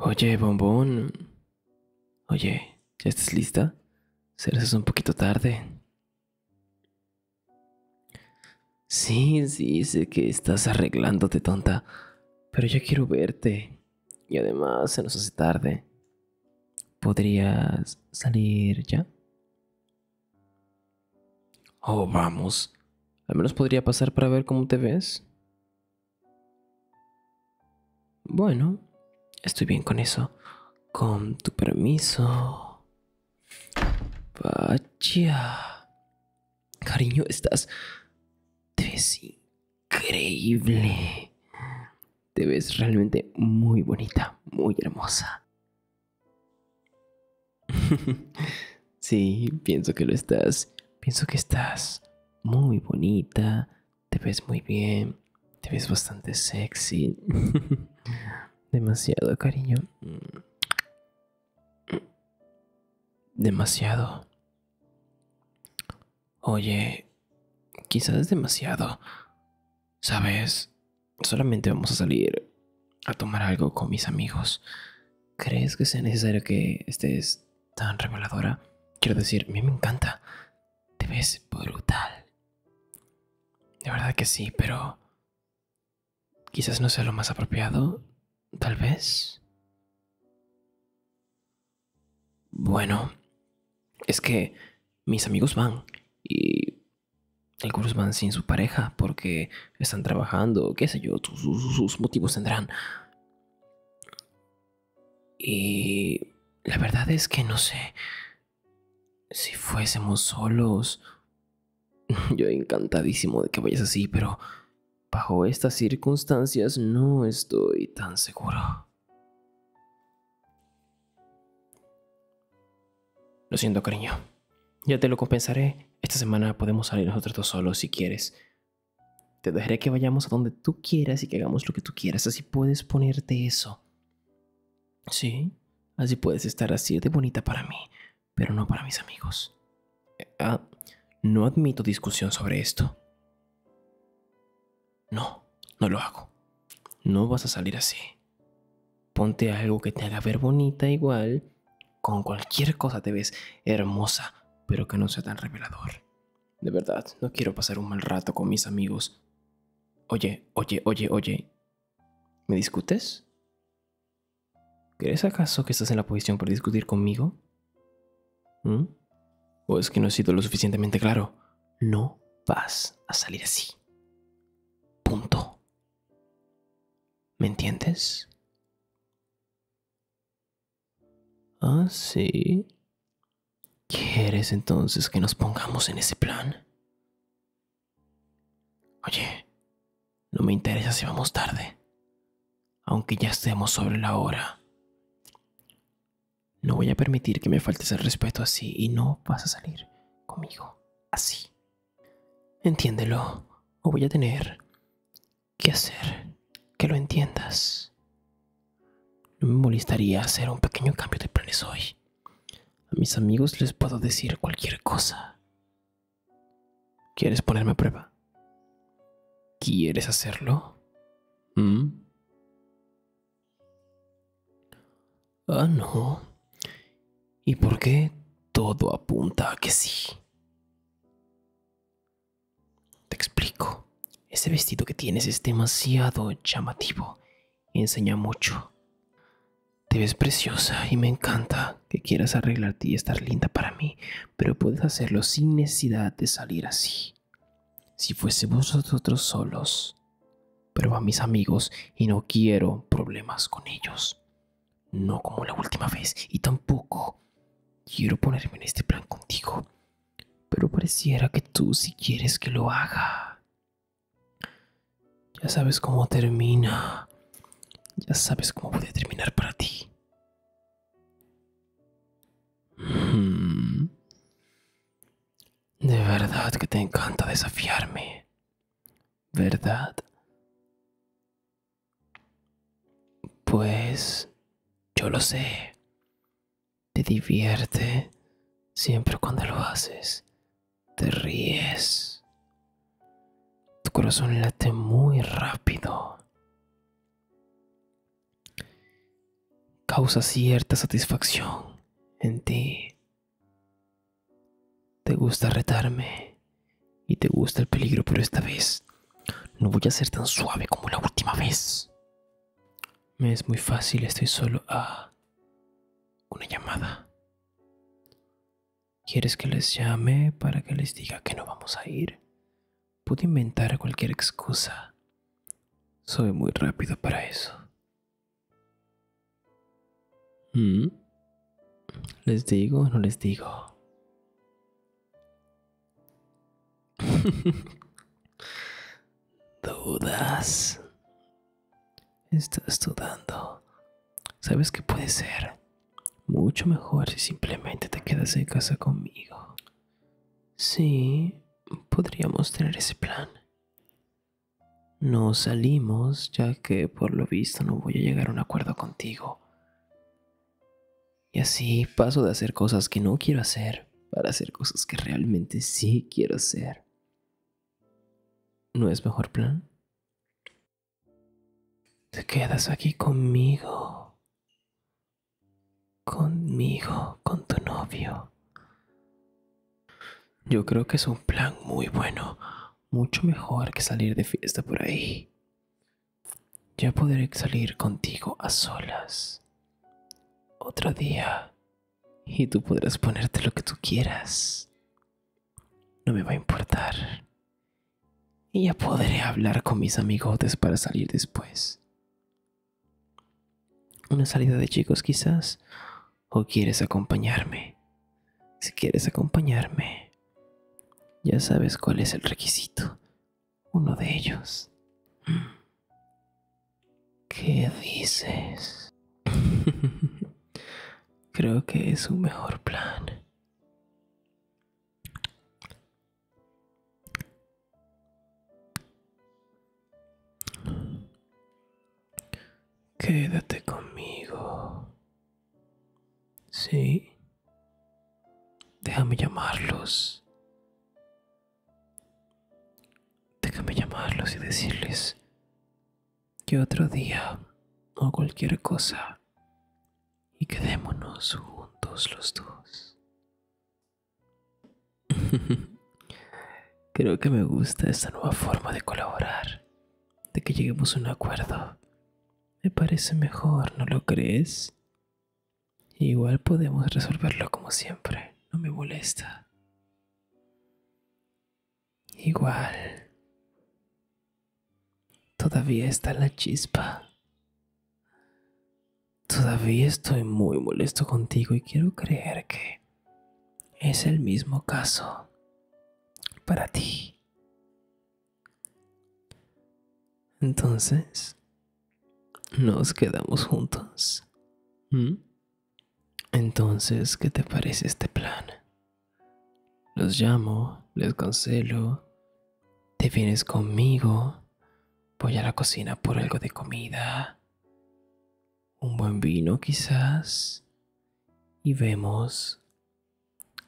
Oye, bombón. Oye, ¿ya estás lista? Serás un poquito tarde. Sí, sí, sé que estás arreglándote, tonta. Pero yo quiero verte. Y además se nos hace tarde. ¿Podrías salir ya? Oh, vamos. Al menos podría pasar para ver cómo te ves. Bueno, estoy bien con eso. Con tu permiso. Vaya. Cariño, estás... Te ves increíble. Te ves realmente muy bonita, muy hermosa. sí, pienso que lo estás. Pienso que estás muy bonita, te ves muy bien, te ves bastante sexy. Demasiado, cariño. Demasiado. Oye, quizás demasiado. ¿Sabes? Solamente vamos a salir a tomar algo con mis amigos. ¿Crees que sea necesario que estés tan reveladora? Quiero decir, a mí me encanta. Te ves brutal. De verdad que sí, pero... Quizás no sea lo más apropiado. Tal vez. Bueno. Es que mis amigos van. Y algunos van sin su pareja porque están trabajando, qué sé yo, sus, motivos tendrán. Y la verdad es que no sé. Si fuésemos solos, yo encantadísimo de que vayas así, pero bajo estas circunstancias no estoy tan seguro. Lo siento, cariño. Ya te lo compensaré. Esta semana podemos salir nosotros dos solos si quieres. Te dejaré que vayamos a donde tú quieras y que hagamos lo que tú quieras. Así puedes ponerte eso. Sí, así puedes estar así de bonita para mí, pero no para mis amigos. Eh, ah, no admito discusión sobre esto. No, no lo hago. No vas a salir así. Ponte algo que te haga ver bonita igual. Con cualquier cosa te ves hermosa, pero que no sea tan revelador. De verdad, no quiero pasar un mal rato con mis amigos. Oye, oye, oye, oye. ¿Me discutes? ¿Crees acaso que estás en la posición para discutir conmigo? ¿Mm? ¿O es que no he sido lo suficientemente claro? No vas a salir así. Punto. ¿Me entiendes? Ah, sí. ¿Quieres entonces que nos pongamos en ese plan? Oye, no me interesa si vamos tarde, aunque ya estemos sobre la hora. No voy a permitir que me faltes el respeto así y no vas a salir conmigo así. Entiéndelo, o voy a tener que hacer que lo entiendas. No me molestaría hacer un pequeño cambio de planes hoy. A mis amigos les puedo decir cualquier cosa. ¿Quieres ponerme a prueba? ¿Quieres hacerlo? Mm. Ah, no. ¿Y por qué todo apunta a que sí? Te explico. Ese vestido que tienes es demasiado llamativo enseña mucho. Te ves preciosa y me encanta que quieras arreglarte y estar linda para mí, pero puedes hacerlo sin necesidad de salir así. Si fuésemos nosotros solos, pero a mis amigos y no quiero problemas con ellos. No como la última vez y tampoco quiero ponerme en este plan contigo, pero pareciera que tú si quieres que lo haga. Ya sabes cómo termina. Ya sabes cómo puede terminar para ti. Mm. De verdad que te encanta desafiarme. ¿verdad? Pues yo lo sé. Te divierte siempre cuando lo haces. Te ríes. Tu corazón late muy rápido. Causa cierta satisfacción en ti. Te gusta retarme y te gusta el peligro, pero esta vez no voy a ser tan suave como la última vez. Me es muy fácil, estoy solo a ah, una llamada. ¿Quieres que les llame para que les diga que no vamos a ir? Puedo inventar cualquier excusa. Soy muy rápido para eso. Mm. ¿Les digo o no les digo? Dudas. Estás dudando. Sabes que puede ser mucho mejor si simplemente te quedas en casa conmigo. Sí, podríamos tener ese plan. No salimos ya que por lo visto no voy a llegar a un acuerdo contigo. Y así paso de hacer cosas que no quiero hacer para hacer cosas que realmente sí quiero hacer. ¿No es mejor plan? Te quedas aquí conmigo. Conmigo, con tu novio. Yo creo que es un plan muy bueno, mucho mejor que salir de fiesta por ahí. Ya podré salir contigo a solas. Otro día. Y tú podrás ponerte lo que tú quieras. No me va a importar. Y ya podré hablar con mis amigotes para salir después. Una salida de chicos quizás. ¿O quieres acompañarme? Si quieres acompañarme, ya sabes cuál es el requisito. Uno de ellos. Mm. ¿Qué dices? Creo que es un mejor plan. Quédate conmigo. Sí. Déjame llamarlos. Déjame llamarlos y decirles que otro día o cualquier cosa y quedémonos juntos los dos. Creo que me gusta esta nueva forma de colaborar, de que lleguemos a un acuerdo. Me parece mejor, ¿no lo crees? Igual podemos resolverlo como siempre, no me molesta. Igual. Todavía está la chispa. Todavía estoy muy molesto contigo y quiero creer que es el mismo caso para ti. Entonces, nos quedamos juntos. Entonces, ¿qué te parece este plan? Los llamo, les cancelo, te vienes conmigo, voy a la cocina por algo de comida, un buen vino quizás y vemos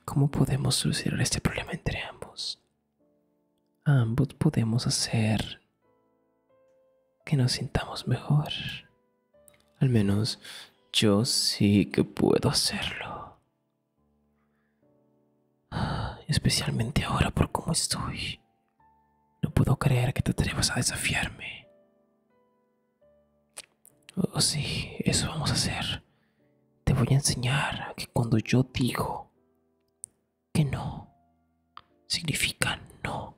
cómo podemos solucionar este problema entre ambos. Ambos podemos hacer que nos sintamos mejor. Al menos yo sí que puedo hacerlo. Ah, especialmente ahora por cómo estoy. No puedo creer que te atrevas a desafiarme. Oh, sí, eso vamos a hacer. Te voy a enseñar que cuando yo digo que no, significa no.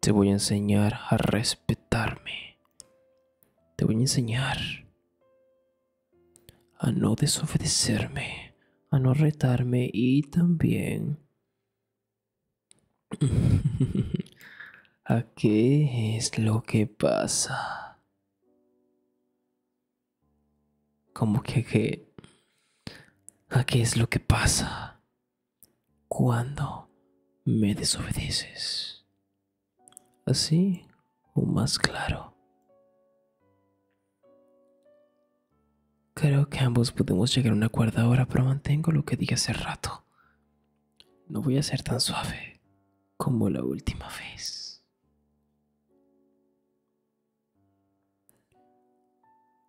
Te voy a enseñar a respetarme. Te voy a enseñar a no desobedecerme, a no retarme y también ¿A qué es lo que pasa? Como que, a qué es lo que pasa cuando me desobedeces? ¿Así o más claro? Creo que ambos podemos llegar a un acuerdo ahora, pero mantengo lo que dije hace rato. No voy a ser tan suave como la última vez.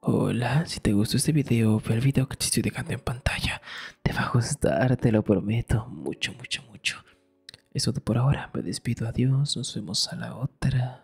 Hola, si te gustó este video, ve el video que te estoy dejando en pantalla. Te va a gustar, te lo prometo, mucho, mucho, mucho. Eso todo por ahora, me despido, adiós, nos vemos a la otra.